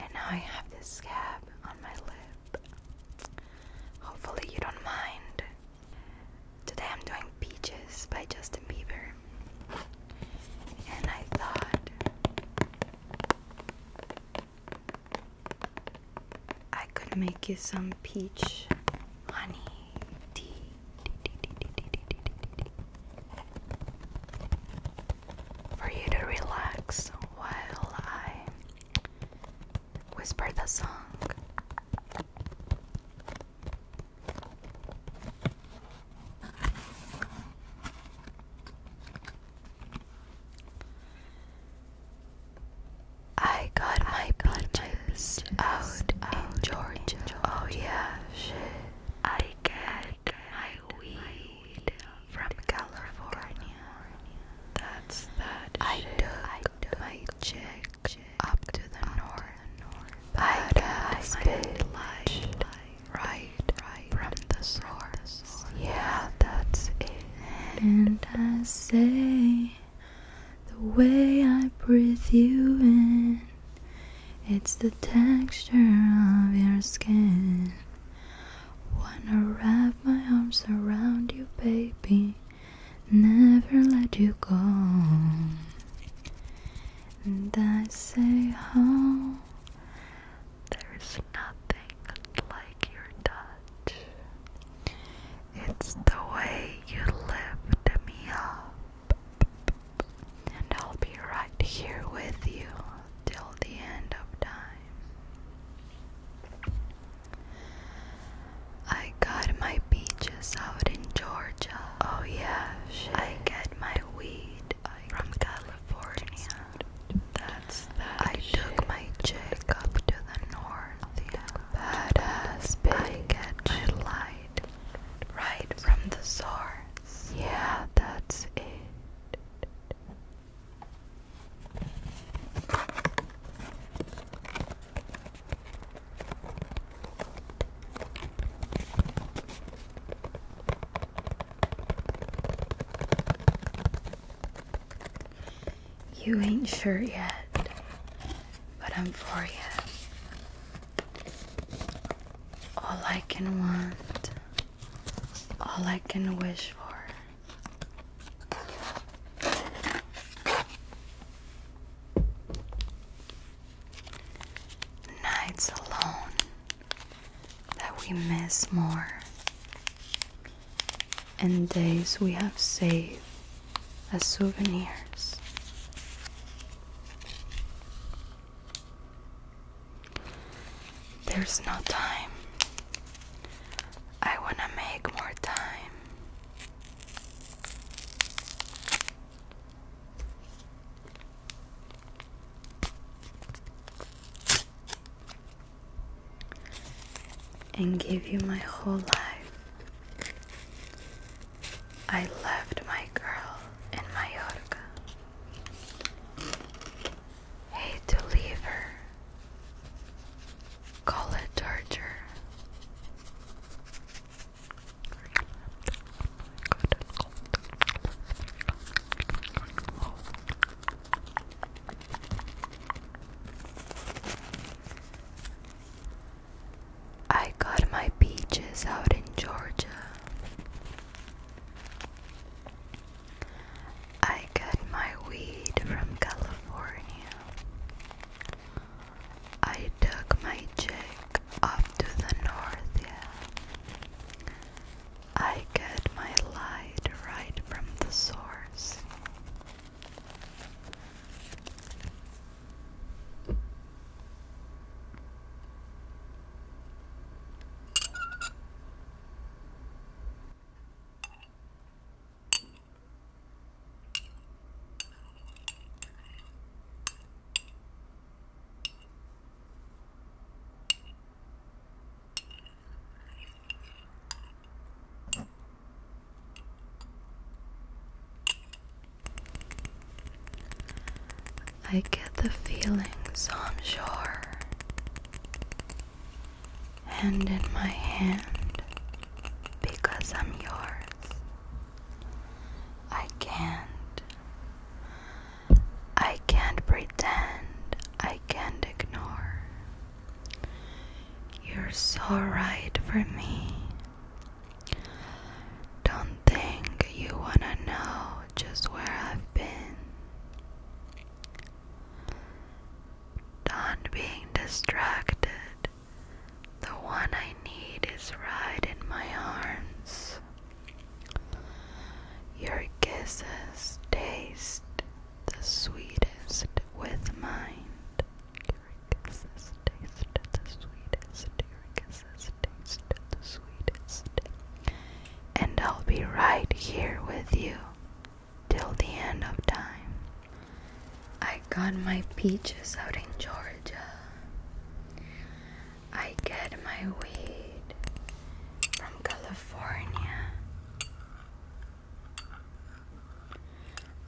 And now I have this scab on my lip. Hopefully, you don't mind. Today I'm doing Peaches by Justin Bieber. And I thought I could make you some peach honey tea for you to relax while I whisper the song. I got my got out in Georgia. Oh yeah, I get my weed from California. That's that. I took my chick up to the north. I got my light right from the source. Yeah, that's it. And I say. The way I breathe you in, it's the texture of your skin. Wanna wrap my arms around you, baby, never let you go. And I say, oh, there's nothing like your touch. It's the way you lift me up. And I'll be right here with you till the end of time. I got my beaches out in Georgia. Oh, yeah. I get my weed from California. That's that. I took my chick up to the north. Yeah badass big edge light right from the source. Yeah, that's it. You ain't sure yet, but I'm for you. All I can want, all I can wish for. Nights alone, that we miss more. And days we have saved as souvenirs. There's no time. I wanna make more time and give you my whole life. I loved my girl and my Mallorca. Hate to leave her. Call it torture. Oh I got my peaches out in Georgia. I got my weed from California. I took my chick up to the north, yeah. I get my light right from the source. I get the feelings I'm sure. hand in my hand, because I'm yours. I can't I can't pretend, I can't ignore. You're so right for me. Don't think you wanna know just where I've been. Don't being distracted the one I need is right in my arms. Your kisses taste the sweetest with mine. And I'll be right here with you till the end of time. I got my peaches out in Georgia. I get my weed from California.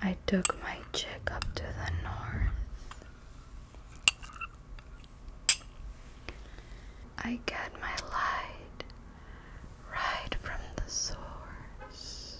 I took my chick up to the north. I get my light right from the source.